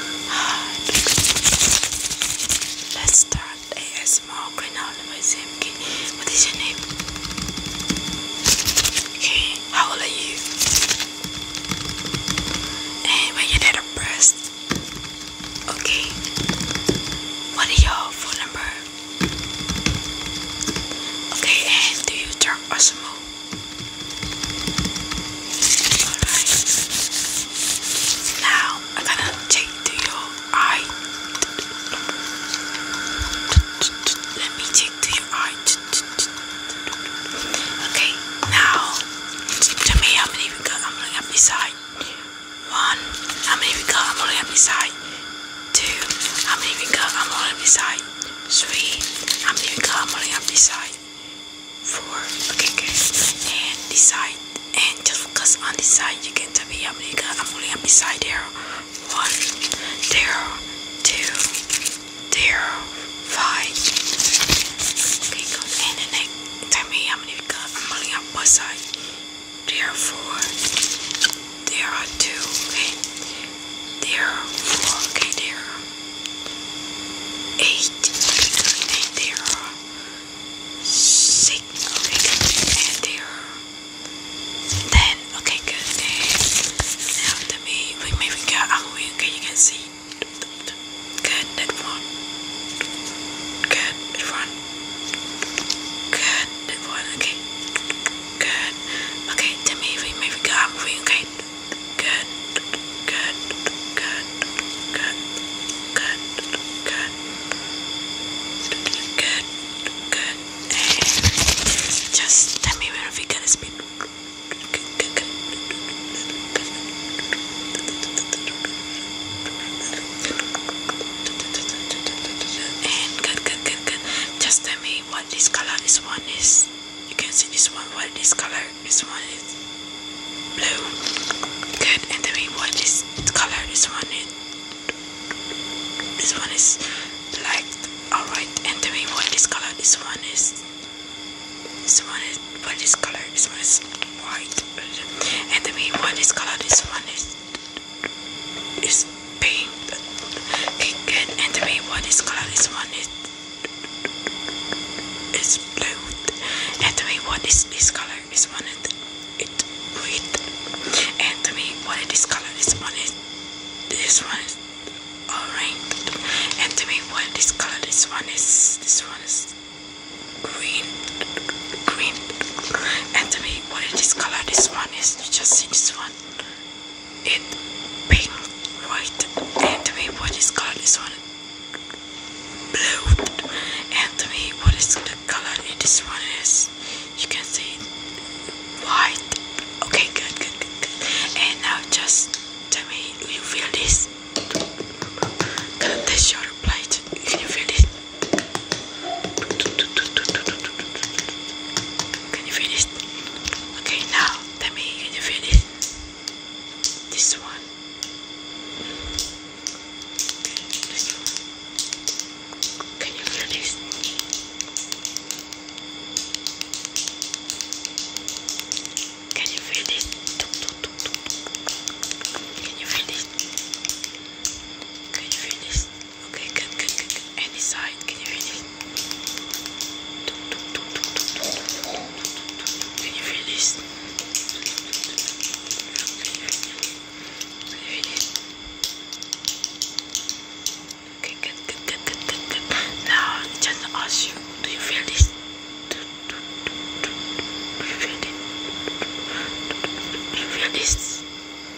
Let's start ASMR Greenhouse by Simki. What is your name? Okay, how are you? And when you did a Okay. What is your phone number? Okay, and do you drink or smoke? Now I'm gonna take to your eye. Let me take to your eye. Okay, now tell me how many we got. I'm looking up this side. One, how many we got? I'm looking up this side. Two, how many we got? I'm looking up this side. Three, how many we got? I'm looking up this side four. Okay guys, and the side, and just focus on the side. You can tell me how many I'm only on this side there. One, there, two, there, five. Okay, good. And the next, tell me how many I'm only on both sides. There are four. There are two. Okay. There are four. Okay, there eight and there six okay good there ten okay good and now let me we maybe got oh okay you can see good that one good that one good that one okay good okay tell me if we maybe got okay good, good, good, good, good, good. Let's do this. Good, good. And just tell me when we can speak. Good, good, good. good, good, Just tell me what this color is one is. You can see this one, what is color? This one is blue. Good. And then we what is color? This one is this one is black. Alright. And then we what is color? This one is this one is what is color? This one is white. And then we what is color? This one is is pink. Okay, good. And then we what is color? This one is it's blue. And to me, what is this color? Is one it, it red. And to me, what is this color? Is one it, this one is orange. And to me, what is this color? This one is this one is green, green. And to me, what is this color? This one is. You just see this one it pink, white, and to me what is colored is one blue, and to me what is the color in this one is, you can see white, okay good, good, good, good, and now just tell me, do you feel this, can this your plate, can you feel this, can you feel this, okay now, let me, can you feel it? This one. Can you feel this? Can you feel this? Can you feel this? Can you feel this? Okay, good, good, good, good. Any side, can you feel it? Can you feel this? Can you feel it? good, good, good, good, good, good. Now, just ask you, do you feel this? Do you feel it? Do you feel this?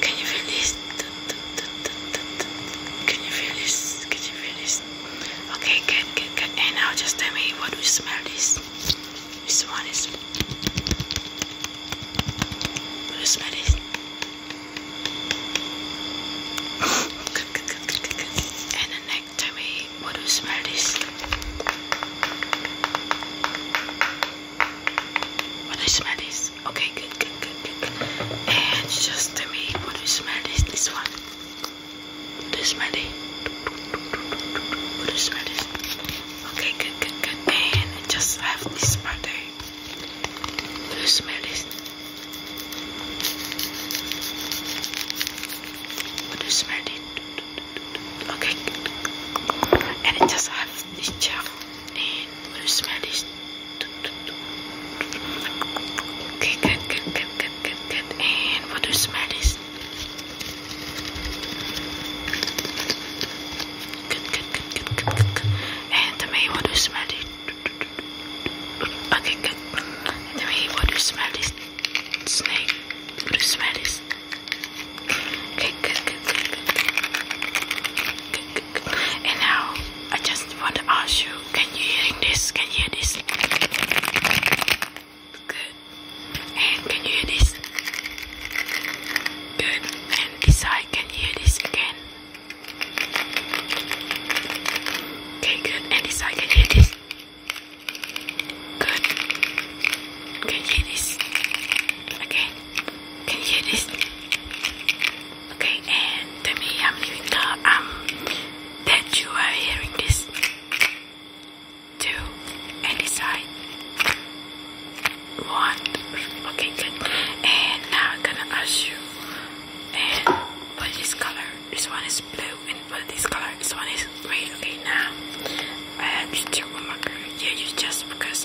Can you feel this? Can you feel this? Can you feel this? Okay, good, good, good. And now just tell me what we smell this. This one is. Do you smell this? good, good, good, good, good, good. And the neck, tell me what do you smell this? What do you smell this? this. Okay, good, good, good, good. And just tell me what you smell is this one. Do you smell it? What do you smell it? Okay, good, good, good. And just have this part there. Do you smell it? What do you smell it? Okay, good. And just have this gel and the smell is okay good good good good good good and what the smell is good good good good good good, and the may what the smell is okay good and the may what smell is snake what the smell is Okay, and now I just want to ask you, can you hearing this? Can you hear this? Good. And can you hear this? Good. And this side, can you hear this again? Okay, good. And this side, can you hear this? Good. Can you hear this? Again. Can you hear this? Okay, and tell me how many people um that you are hearing this. Two and decide. One. Okay, good. And now I'm gonna ask you and what is color? This one is blue and what is color? This one is red. Okay now I have to marker. Yeah you just focus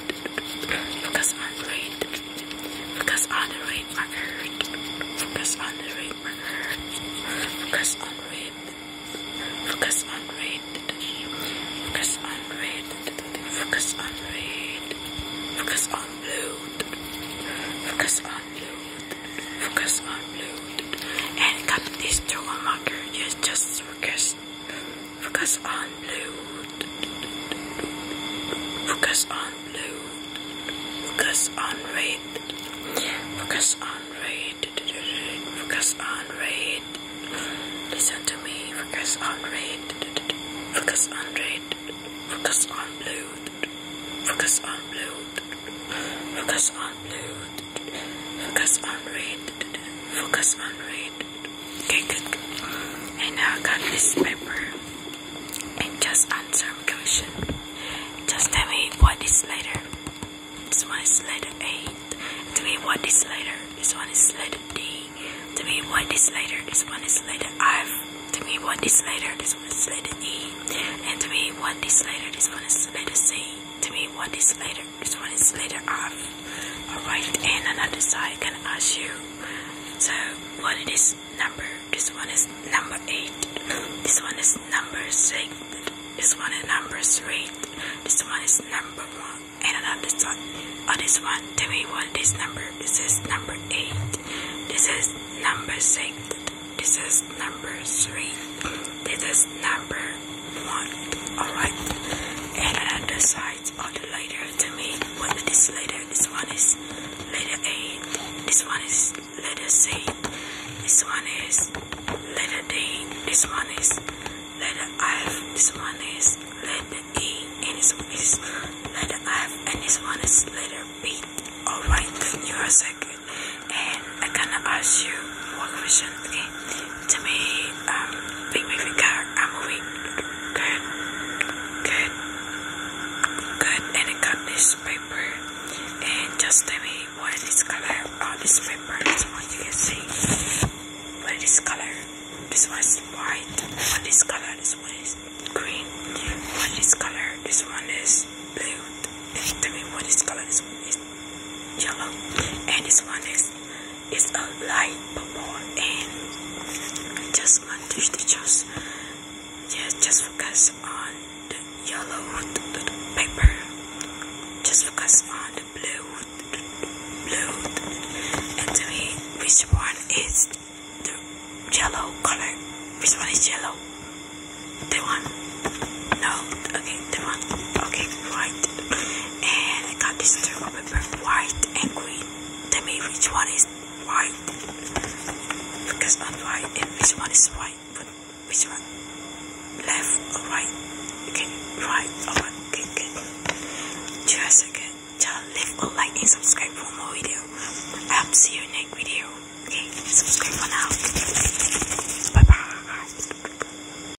Focus on red. Focus on the red marker. Focus on the red marker. Focus on red. Focus on red. Focus on red. Focus on red. Focus on blue. Focus on blue. Focus on blue. And cut this through a marker. Just just focus. Focus on blue. Focus on blue. Focus on red. Focus on red. Focus on red. Listen to me. Focus on red. Focus on red. Focus on blue. Focus on blue. Focus on blue. Focus on red. Focus on red. Okay, good. Okay, good. And now I got this paper. And just answer my question. Just tell me what is letter. This one is letter A. Tell me what is letter. This one is letter D. Tell me what is letter. This one is letter F. Tell me what is letter. This one is letter E. And to me what is letter. This one is letter C. To me what is letter. This one is letter F. Alright, and another side can ask you. So what is it is number? This one is number eight. This one is number six. This one is number three. This one is number one. And another side. On oh, this one. Tell me what this number. This is number eight. This is number six. This is number three. This is number one. Alright. And another side all the letter to me. What this letter? This one is letter A. This one is letter C. This one is letter D. This one is letter F. This one is letter E. And this one is letter F. And this one is letter B. Alright, you are a second. And I am gonna ask you one question, okay? to me, um, big moving car and moving good, good, good, and I got this paper and just tell me what is color on oh, this paper so you can see what is this color this one is white one color this one is green one color this one is blue tell me what is color this one is yellow and this one is it's a light purple and just want to just yeah just focus on the yellow the, paper just focus on the blue the, blue and tell which one is the yellow color which one is yellow the one no okay the one okay white. And I got these two, remember, white and green. Tell me which one is white. Because on white and which one is white. But which one? Left or right? Okay, right or oh, Okay, Just a second. Just leave a like and subscribe for more video. I hope see you next video. Okay, subscribe for now. Bye bye.